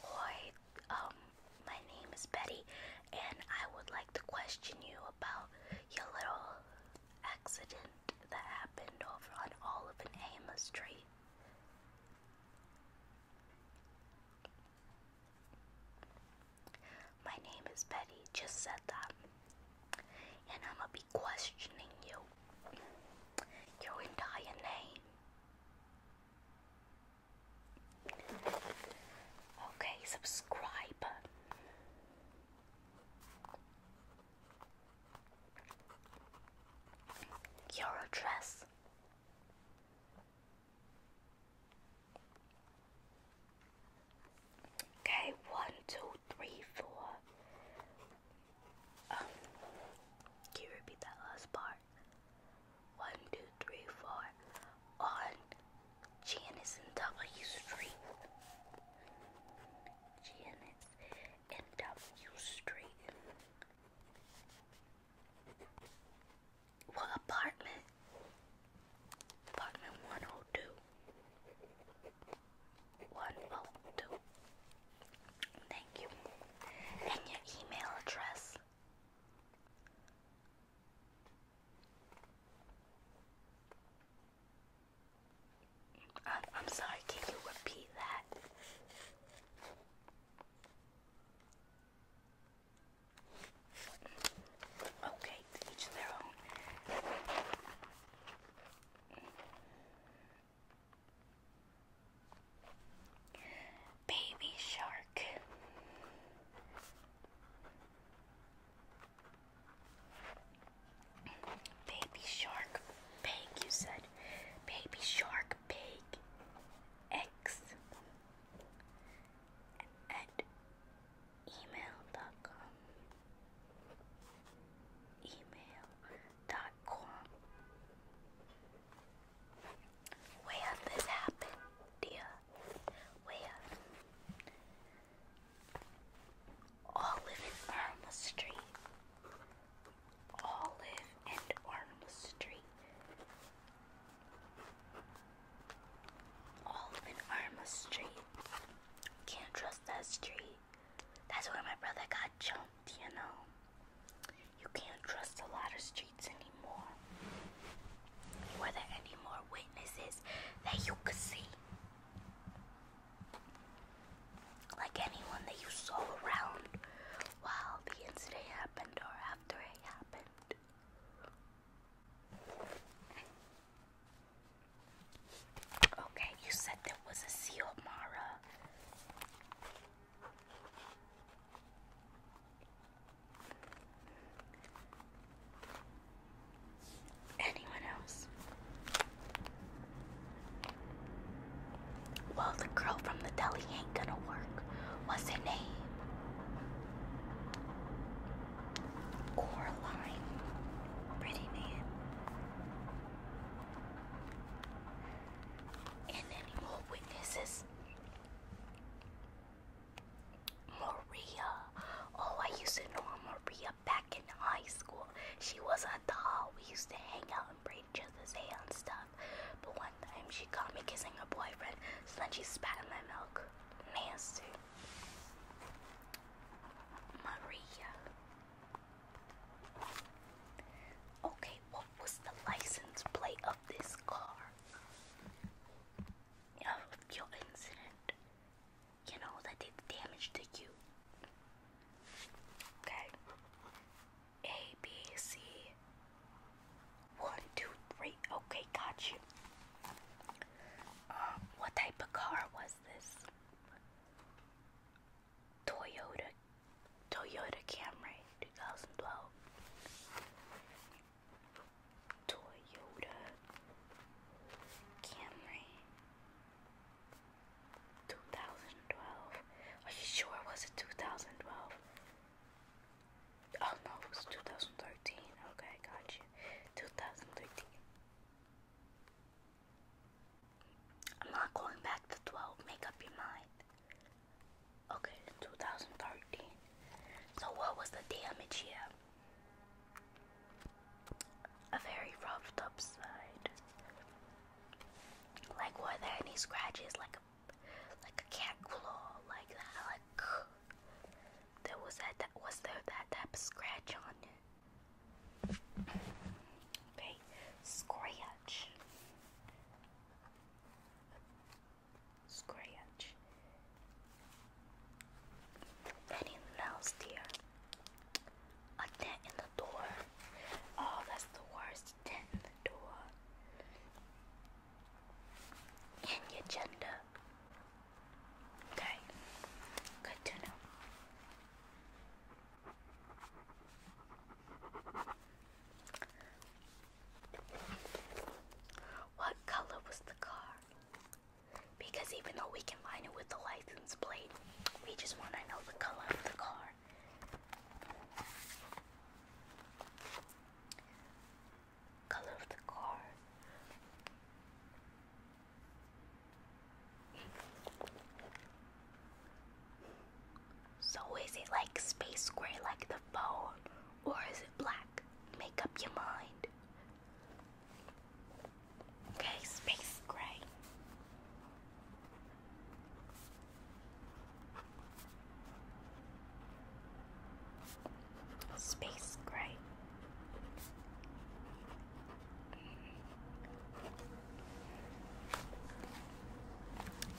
Hi, um, my name is Betty, and I would like to question you about your little accident that happened over on Olive and Amos Street. My name is Betty, just said that. And I'm a questioning you, your entire name. Okay, subscribe. Your address. Okay, one, two, three, four. Um, can you repeat that last part? One, two, three, four. On Janice and W Street. Janice and W Street. What apartment? Apartment 102. One, oh, two. Thank you. And your email address. I'm, I'm sorry, can you repeat that? Okay, to Baby shark. Baby shark pig, you said. Baby shark pig. X email.com email.com Way up this happened, dear. Way up. Olive and Arma Street. Olive and Arma all up in Arma Can't trust that street. That's where my brother got jumped, you know. You can't trust a lot of streets anymore. Were there any more witnesses that you could see? Like anyone that you saw around while the incident happened or after it happened? Okay, you said there was a seal, Mara. Anyone else? Well, the girl from the deli ain't gonna work. What's her name? Coraline. Pretty name. And any more witnesses? Maria. Oh, I used to know Maria back in high school. She was a doll. We used to hang out and braid each other's hair and stuff. But one time she caught me kissing her boyfriend, so then she spat in my milk. Nasty. Maria. Okay, what was the license plate of this car? Of your incident, you know, that did damage to you. Okay. A B C one, two, three. Okay, got you. Um, what type of car was this? Toyota Toyota Camry 2012. Toyota Camry 2012. Are you sure it was a 2012? Oh no, it was 2013. Okay, got you. 2013. I'm not going back to 12. Make up your mind. Okay, 2013. So what was the damage here? A very roughed up side. Like were there any scratches like like a cat claw, like that, like there was that, that was there that type scratch on it. Okay, scratch, scratch. Anything else, dear? A dent in the door. Oh, that's the worst dent in the door and your gender. Okay, good to know. What color was the car? Because even though we can it with the license plate, we just want to know the color of the car color of the car. So is it like space gray like the phone or is it black? Make up your mind. Okay, space gray. Space gray.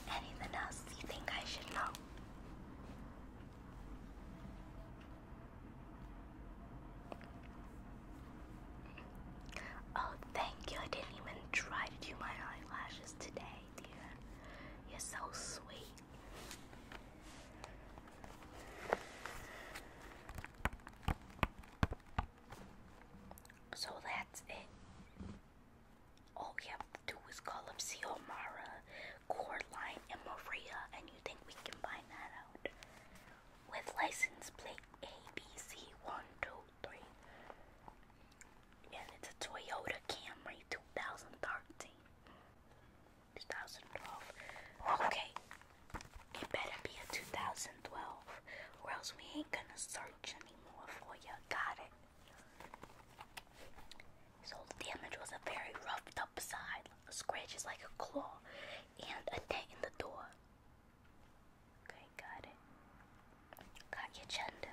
Anything else you think I should know? Oh, thank you. I didn't even try to do my eyelashes today. You're so sweet. So that's it. Oh, yep, two is called up Mara, Coraline, and Maria, and you think we can find that out? With license plate ABC123 and it's a Toyota Camry 2013. Okay, it better be a 2012, or else we ain't gonna search anymore for you. Got it? So the damage was a very roughed up side, scratches like a claw, and a dent in the door. Okay. I got it. Kagyachanda.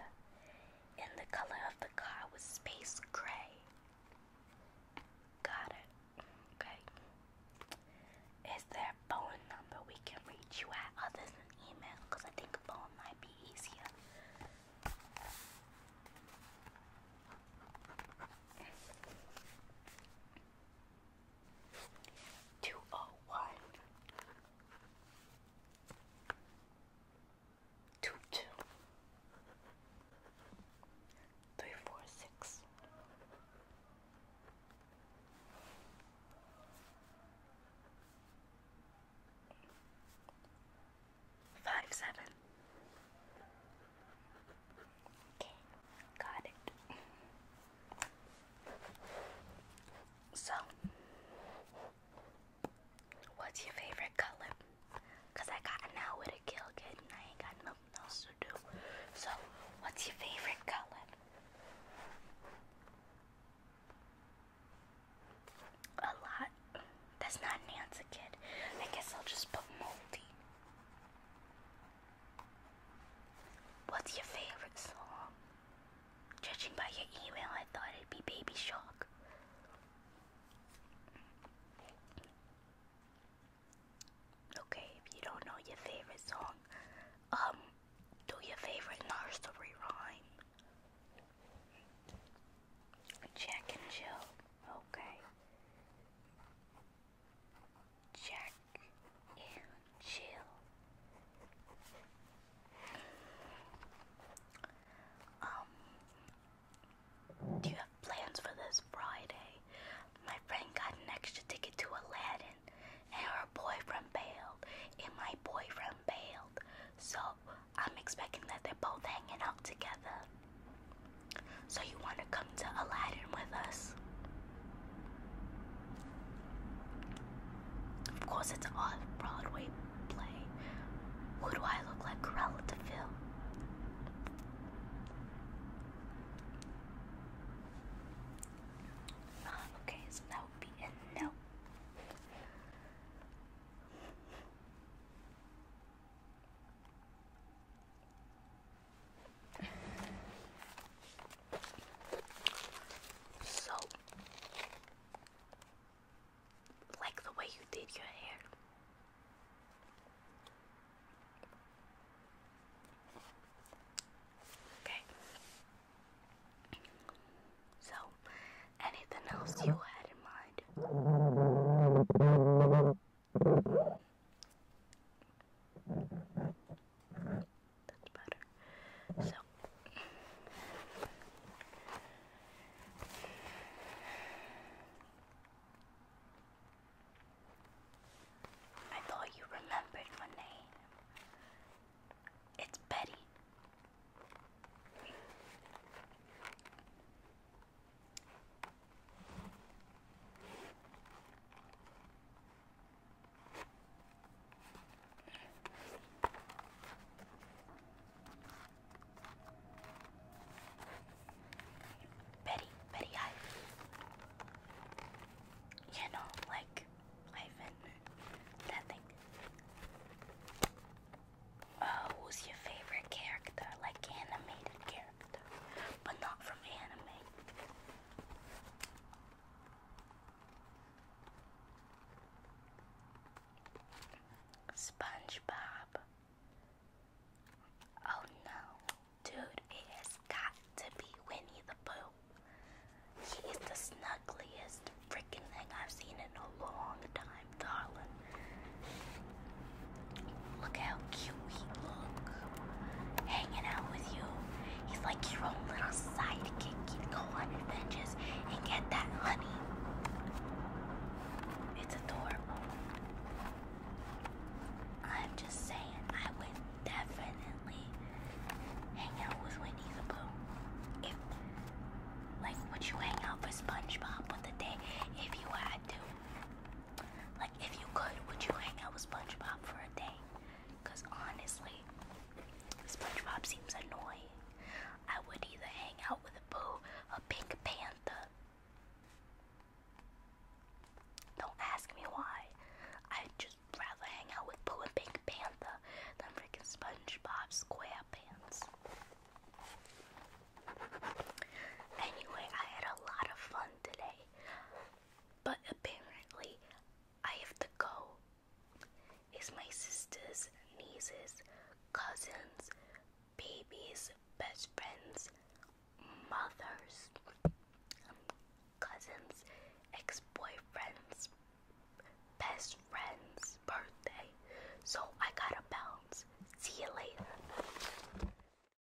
And the color of the car was space gray. Got it. Okay. Is there phone number we can reach you at other than email? Because I think phone might be easier. Two oh one two two three four six five seven okay got it so What's your favorite color? Cause I got an hour to kill, kid, and I ain't got nothing else to do. So, what's your favorite color? A lot. That's not an kid. I guess I'll just put multi. What's your favorite song? Judging by your email, I thought it'd be Baby shock. Okay, if you don't know your favorite song, um, do your favorite nursery rhyme. Jack and Jill. Okay. Jack and chill. Um, do you have plans for this Friday? My friend got an extra ticket to Aladdin, and her boyfriend bailed, and my boyfriend bailed. So I'm expecting that they're both hanging out together. So you want to come to Aladdin with us? Of course, it's an off-Broadway play. Who do I look like Corella to film? Ah, okay, so that would be a no. So, like the way you did your hair. Okay. So, anything else you had in mind? That's better. So I thought you remembered my name. It's Betty. Very, very high. You know, like Ivan, that thing. Uh, who's your favorite character? Like animated character, but not from anime. SpongeBob. Oh no, dude, it has got to be Winnie the Pooh. He is the snuggliest freaking thing I've seen in a long time, darling. Look how cute sweet look. Hanging out with you. He's like your own little sidekick. You'd go on adventures and get that honey. It's adorable. I'm just saying, I would definitely hang out with Winnie the Pooh. If, like, would you hang out with SpongeBob for the day if you had to? Like, if you could, would you hang out with SpongeBob for a day? Because honestly, SpongeBob seems annoying. I would either hang out with a boo, a pink panther. Don't ask me why. I'd just rather hang out with Pooh and Pink Panther than freaking SpongeBob SquarePants. Anyway, I had a lot of fun today. But apparently, I have to go. It's my sisters, nieces, cousins, babies, best friends, mothers, cousins, ex boyfriends, best friends' birthday. So I gotta bounce. See you later.